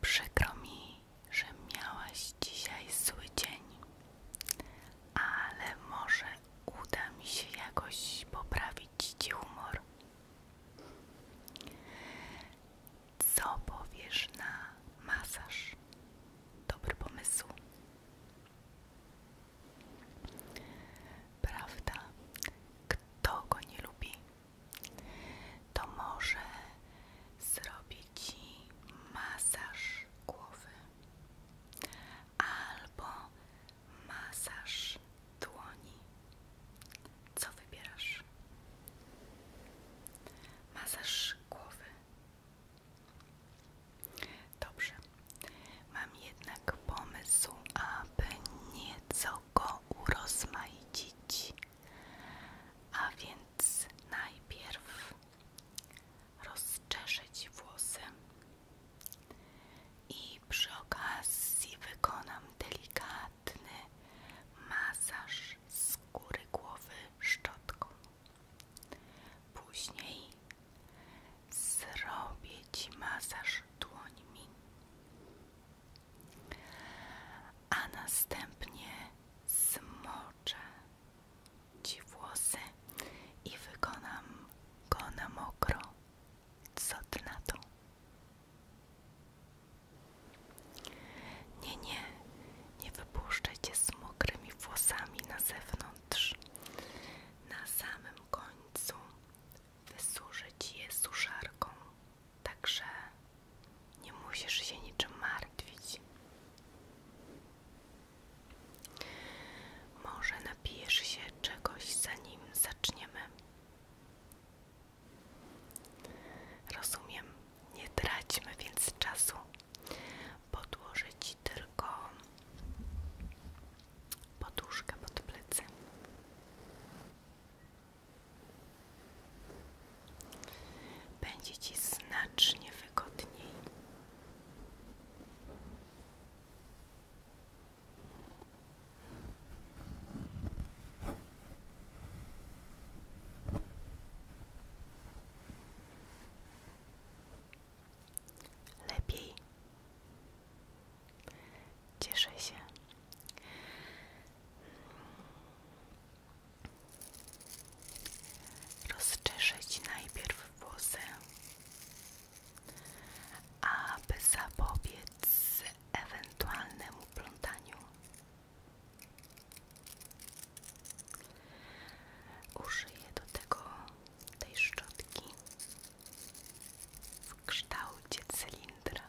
Przykro mi, że miałaś dzisiaj zły dzień, ale może uda mi się jakoś poprawić ci humor. Co powiesz na masaż? Dobry pomysł. Prawda? Kto go nie lubi? to może zrobić Ci masaż głowy albo masaż dłoni. Co wybierasz? Masaż głowy. Dobrze, mam jednak pomysł, aby nieco go urozmaicić. A więc najpierw rozczeszyć włosy i przy okazji wykonam delikatny masaż skóry głowy szczotką. Później zrobię Ci masaż dłońmi a następnie zmoczę Ci włosy i wykonam go na mokro. Co Ty na to? Nie, nie, nie wypuszczę Cię z mokrymi włosami na zewnątrz. Na samym końcu wysuszę Ci je suszarką. Także nie musisz się niczym martwić. Może napijesz się czegoś, zanim zaczniemy. Rozumiem, nie traćmy więc czasu. Podłożę ci tylko poduszkę pod plecy. Będzie Ci znacznie wygodniej. Lepiej. Cieszę się. Rozczeszyć najpierw włosy, aby zapobiec ewentualnemu plątaniu. Użyję do tego tej szczotki w kształcie cylindra.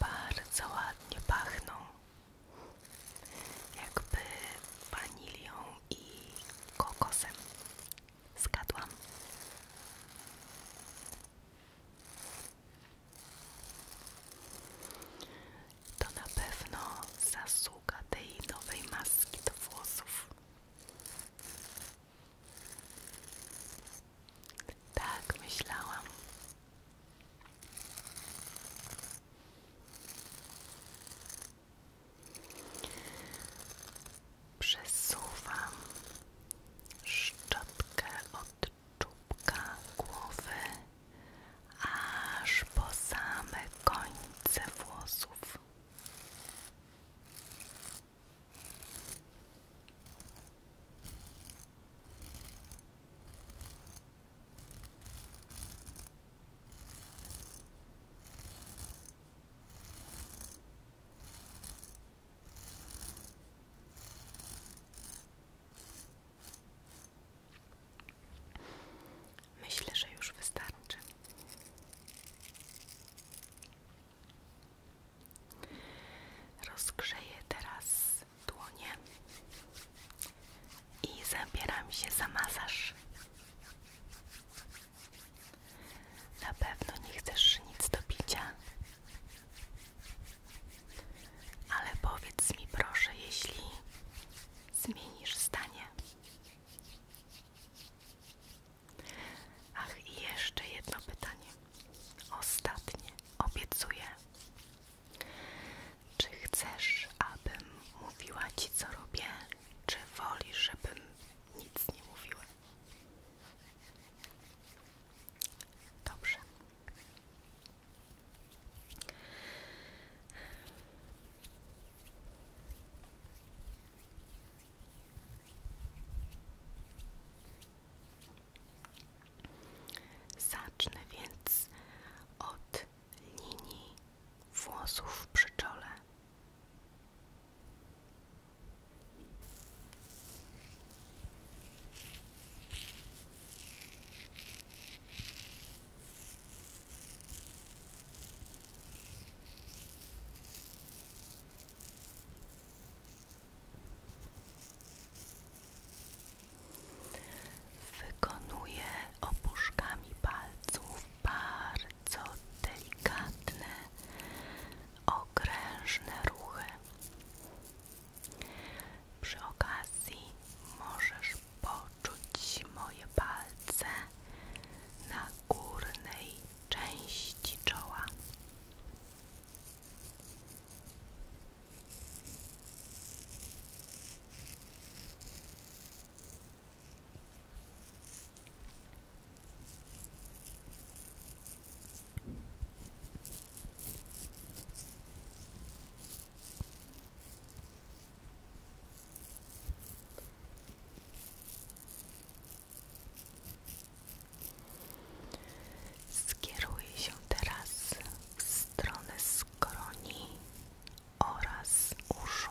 Bardzo ładnie pachną, jakby wanilią i kokosem. Zgadłam. To na pewno zasługa tej nowej maski do włosów. Tak, myślałam. Przesuwam szczotkę od czubka głowy aż po same końce włosów. Myślę, że już wystarczy. Rozgrzeję teraz dłonie i zabieram się za masaż. Na pewno nie chcesz nic do picia, ale powiedz mi proszę, jeśli zmienisz zdanie. Ach, i jeszcze jedno pytanie. Ostatnie, obiecuję. Czy chcesz, abym mówiła ci, co robię, czy wolisz, żebym nic nie mówiła? Dobrze. Zacznę więc od linii włosów przy czole. Wykonuję opuszkami palców bardzo delikatne, okrężne ruchy. Przy okazji możesz poczuć moje palce na górnej części czoła. Skieruj się teraz w stronę skroni oraz uszu.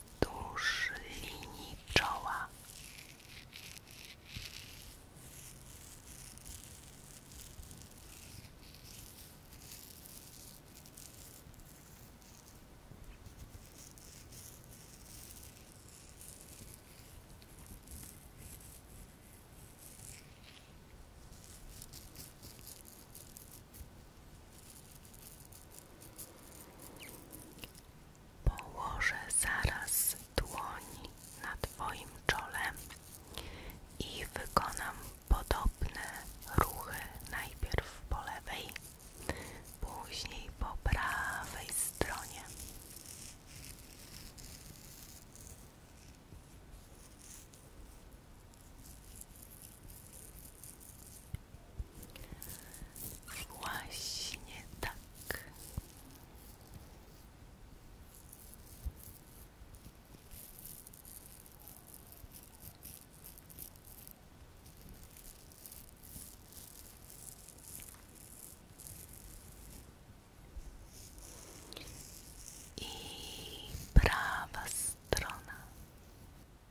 wzdłuż linii czoła. Położę zaraz dłoń na Twoim czole i wykonam podobne ruchy najpierw po lewej, później po prawej stronie. Właśnie tak. I prawa strona.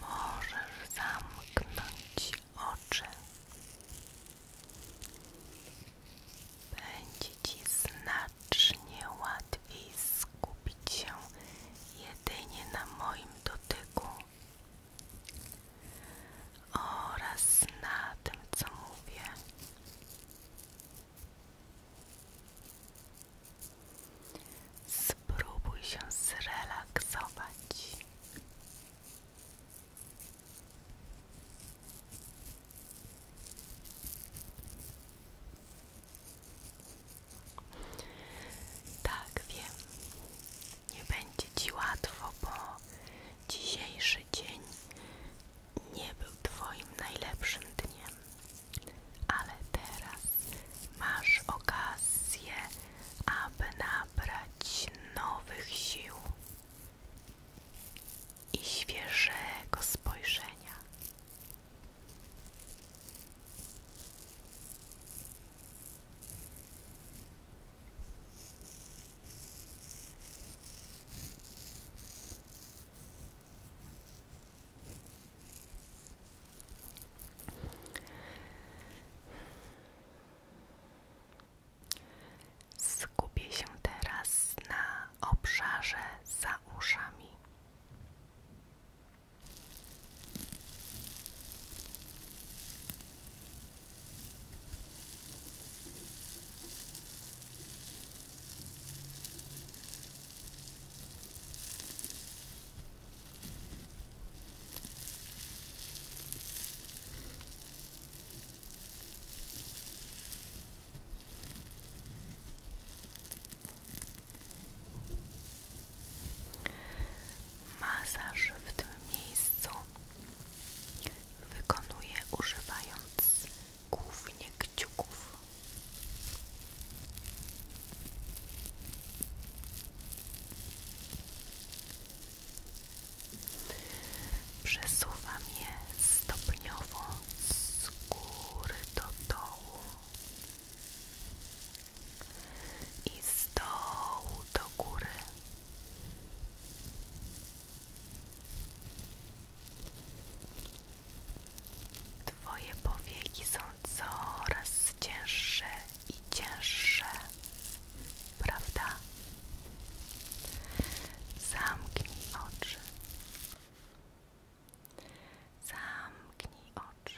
Możesz zamknąć oczy. Będzie ci znacznie łatwiej skupić się jedynie na moim dotyku oraz na tym, co mówię. Spróbuj się zrelaksować. Tak wiem, nie będzie ci łatwo, bo dzisiejszy dzień nie był Twoim najlepszym dniem ale teraz masz okazję, aby nabrać nowych sił i świeżego spojrzenia. Skupię się teraz na obszarze za uszami. Masaż w tym miejscu wykonuje używając głównie kciuków. Przesuwam je stopniowo z góry do dołu i z dołu do góry. Twoje powieki są coraz cięższe i cięższe, prawda? Zamknij oczy. Zamknij oczy.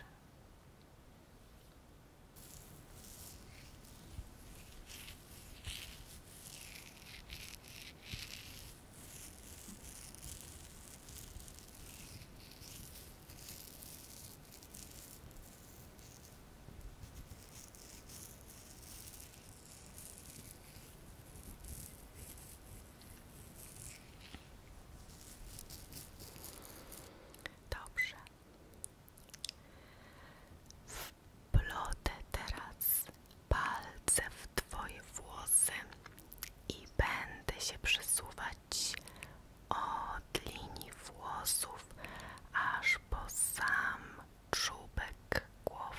Dobrze. Wplotę teraz palce w Twoje włosy i będę się przesuwać od linii włosów aż po sam czubek głowy.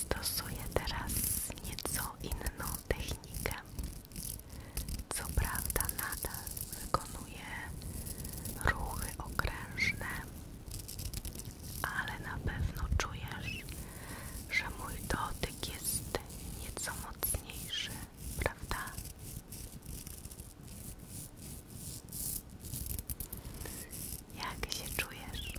Stosuję teraz nieco inną technikę. Co prawda, nadal wykonuje ruchy okrężne, ale na pewno czujesz, że mój dotyk jest nieco mocniejszy, prawda? Jak się czujesz?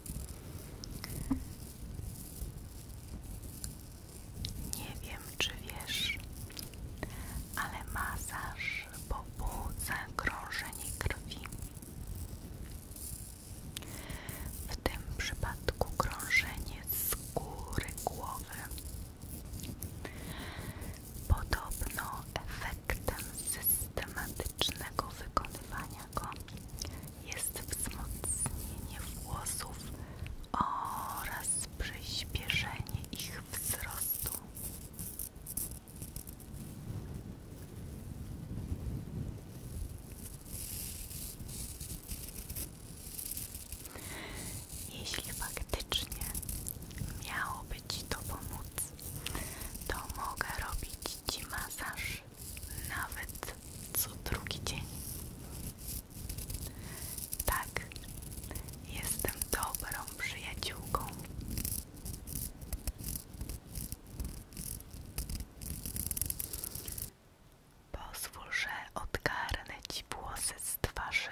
Nie wiem, czy wiesz, ale masaż pobudza krążenie krwi. W tym przypadku krążenie skóry głowy. Podobno efektem systematycznego wykonywania go jest wzmocnienie włosów oraz przyspieszenie ich wzrostu. Jeśli faktycznie miałoby Ci to pomóc, to mogę robić Ci masaż nawet co drugi dzień. Tak, jestem dobrą przyjaciółką. Pozwól, że odgarnę ci włosy z twarzy.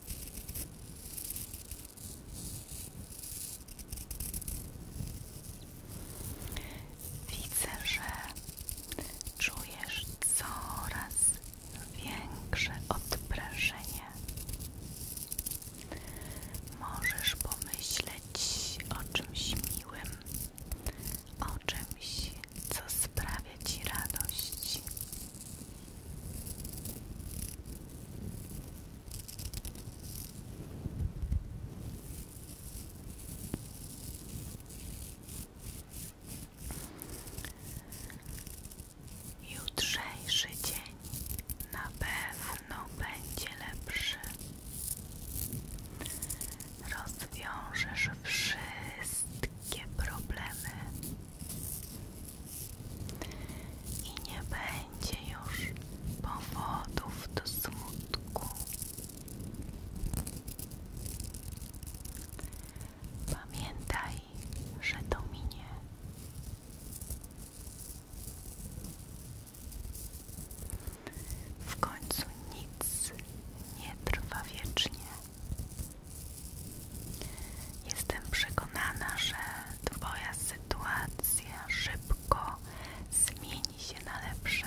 Widzę, że czujesz coraz większe odprężenie. Możesz pomyśleć o czymś miłym, o czymś, co sprawia sprawia dzień na pewno będzie lepszy. Rozwiążesz wszystkie problemy i nie będzie już powodów do smutku. Pamiętaj, że to minie. W końcu nic nie trwa wiecznie. Jestem przekonana, że Twoja sytuacja szybko zmieni się na lepsze.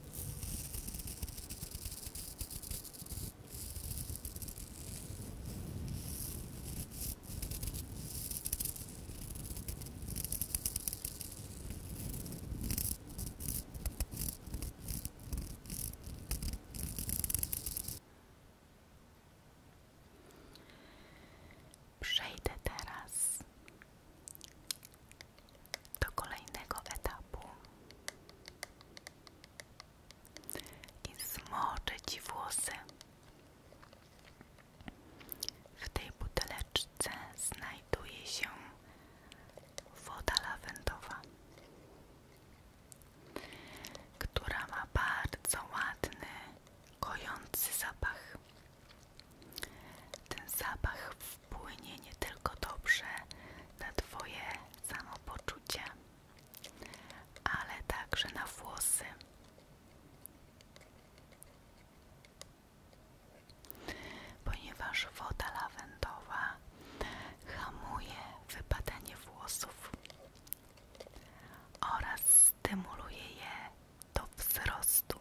Przejdę teraz do kolejnego etapu i zmoczę Ci włosy. W tej buteleczce znajduje się woda lawendowa, która ma bardzo ładny, kojący zapach. Ten zapach wpłynie nie tylko dobrze na Twoje samopoczucie, ale także na włosy. Ponieważ woda lawendowa hamuje wypadanie włosów oraz stymuluje je do wzrostu.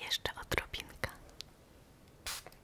Jeszcze odrobinka.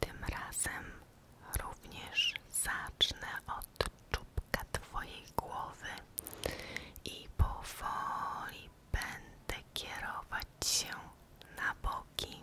Tym razem również zacznę od czubka Twojej głowy i powoli będę kierować się na boki.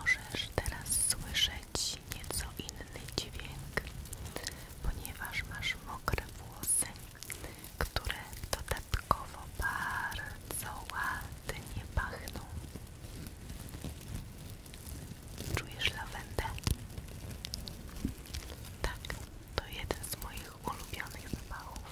Możesz teraz słyszeć nieco inny dźwięk, ponieważ masz mokre włosy, które dodatkowo bardzo ładnie pachną. Czujesz lawendę? Tak, to jeden z moich ulubionych zapachów.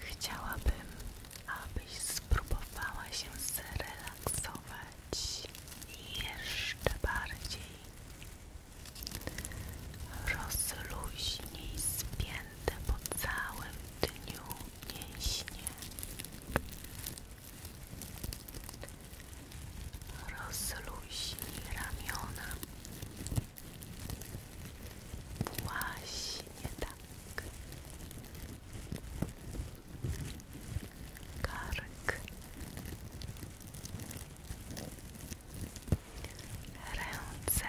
Chciałabym, abyś spróbowała się zrelaksować jeszcze bardziej. Rozluźnij spięte po całym dniu mięśnie. Rozluźnij ramiona. Właśnie tak kark ręce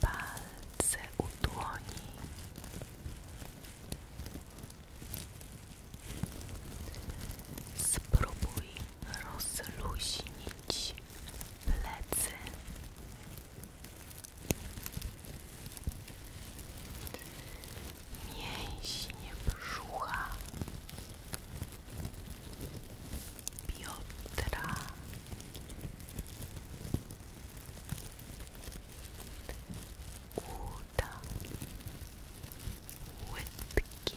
palce u spróbuj rozluźnić plecy. Mięśnie brzucha Piotra uda łydki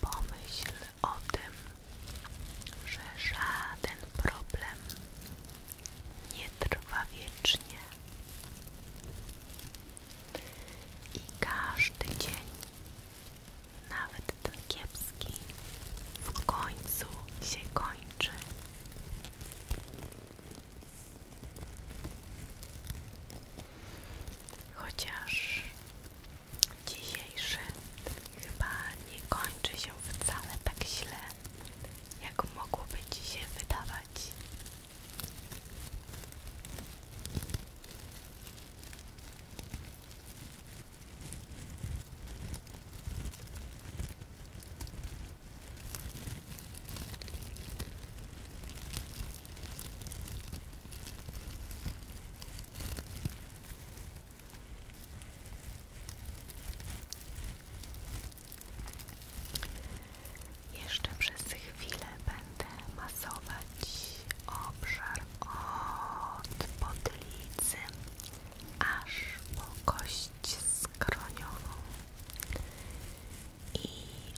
Pomyśl o tym, że żaden problem nie trwa wiecznie i każdy dzień, nawet ten kiepski, w końcu się kończy. Chociaż dzisiejsze chyba nie kończy się wcale tak źle, jak mogłoby ci się wydawać. Jeszcze przez chwilę będę masować obszar od potylicy aż po kość skroniową i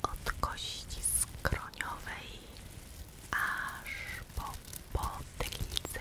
od kości skroniowej aż po potylicę.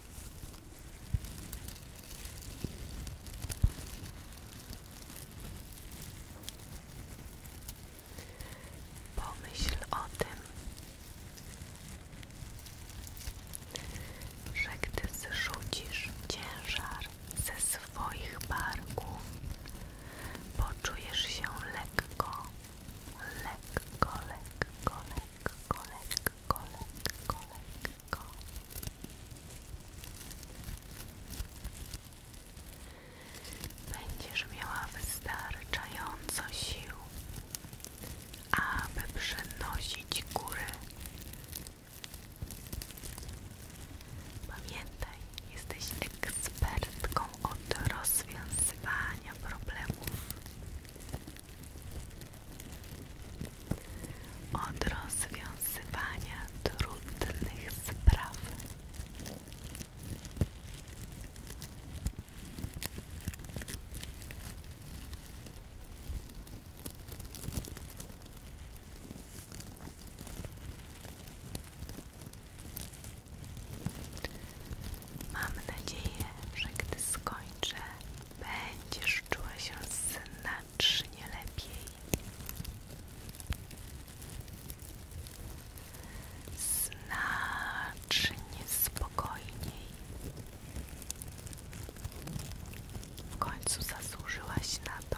Pomyśl o tym, że gdy zrzucisz ciężar ze swoich barków, poczujesz się lekko, lekko, lekko, lekko, lekko, lekko, lekko, Będziesz miała wystarczająco sił, aby przenosić góry. Pamiętaj, jesteś ekspertką od rozwiązywania problemów od rozwiązywania trudnych spraw. Mam nadzieję, że gdy skończę Będziesz czuła się znacznie lepiej. Znacznie spokojniej. W końcu zasłużyłaś na to.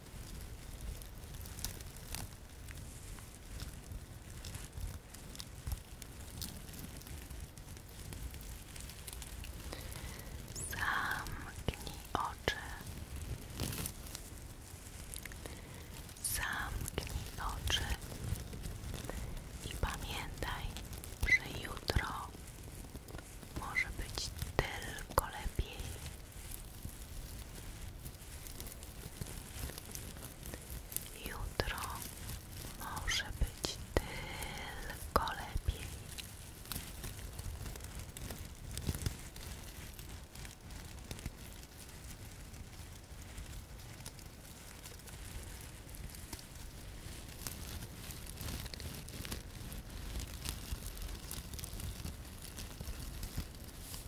Zamknij oczy. Zamknij oczy i pamiętaj, że jutro może być tylko lepiej. Jutro może być tylko lepiej.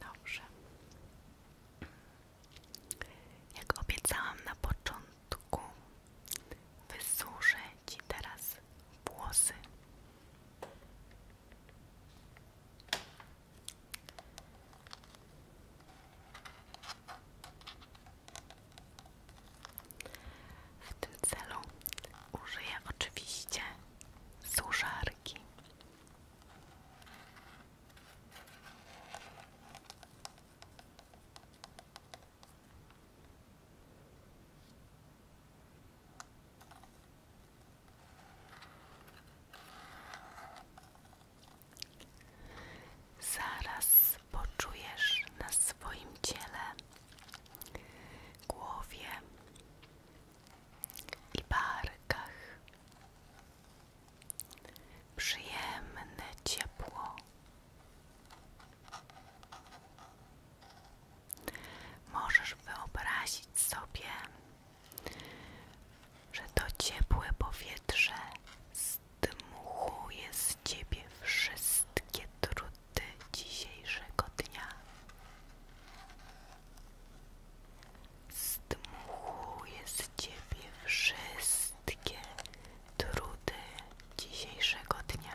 Dobrze. Jak obiecałam na początku, wysuszę Ci teraz włosy. W tym celu użyję oczywiście suszarki. Zaraz poczujesz na swoim ciele, głowie i barkach. Przyjemne ciepło. Możesz wyobrazić sobie, że to ciepłe powietrze zdmuchuje z ciebie wszystkie trudności tematy dzisiejszego dnia. Zdmuchuję z Ciebie wszystkie trudy dzisiejszego dnia.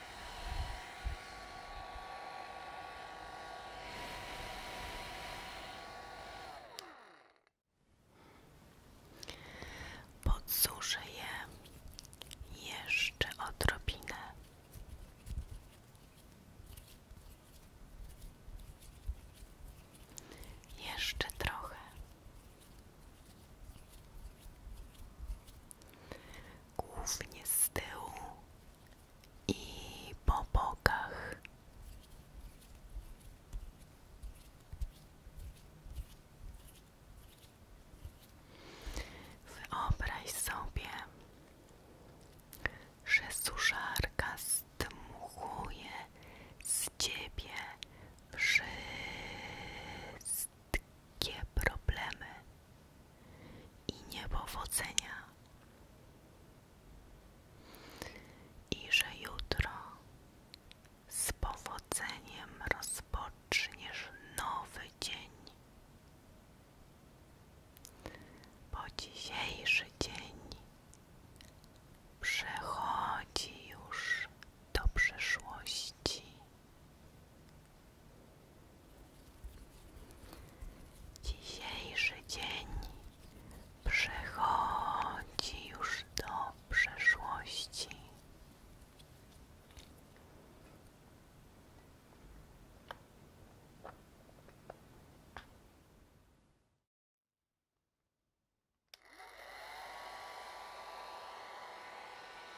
Podsuszę je jeszcze odrobinę. Jeszcze trochę głównie z tyłu i po bokach. Wyobraź sobie, że suszarka zdmuchuje z ciebie wszystko wszystkie problemy i niepowodzenia i że jutro z powodzeniem rozpoczniesz nowy dzień. Bo dzisiejszy dzień przechodzi już do przeszłości. Dzisiejszy dzień przechodzi już do przeszłości.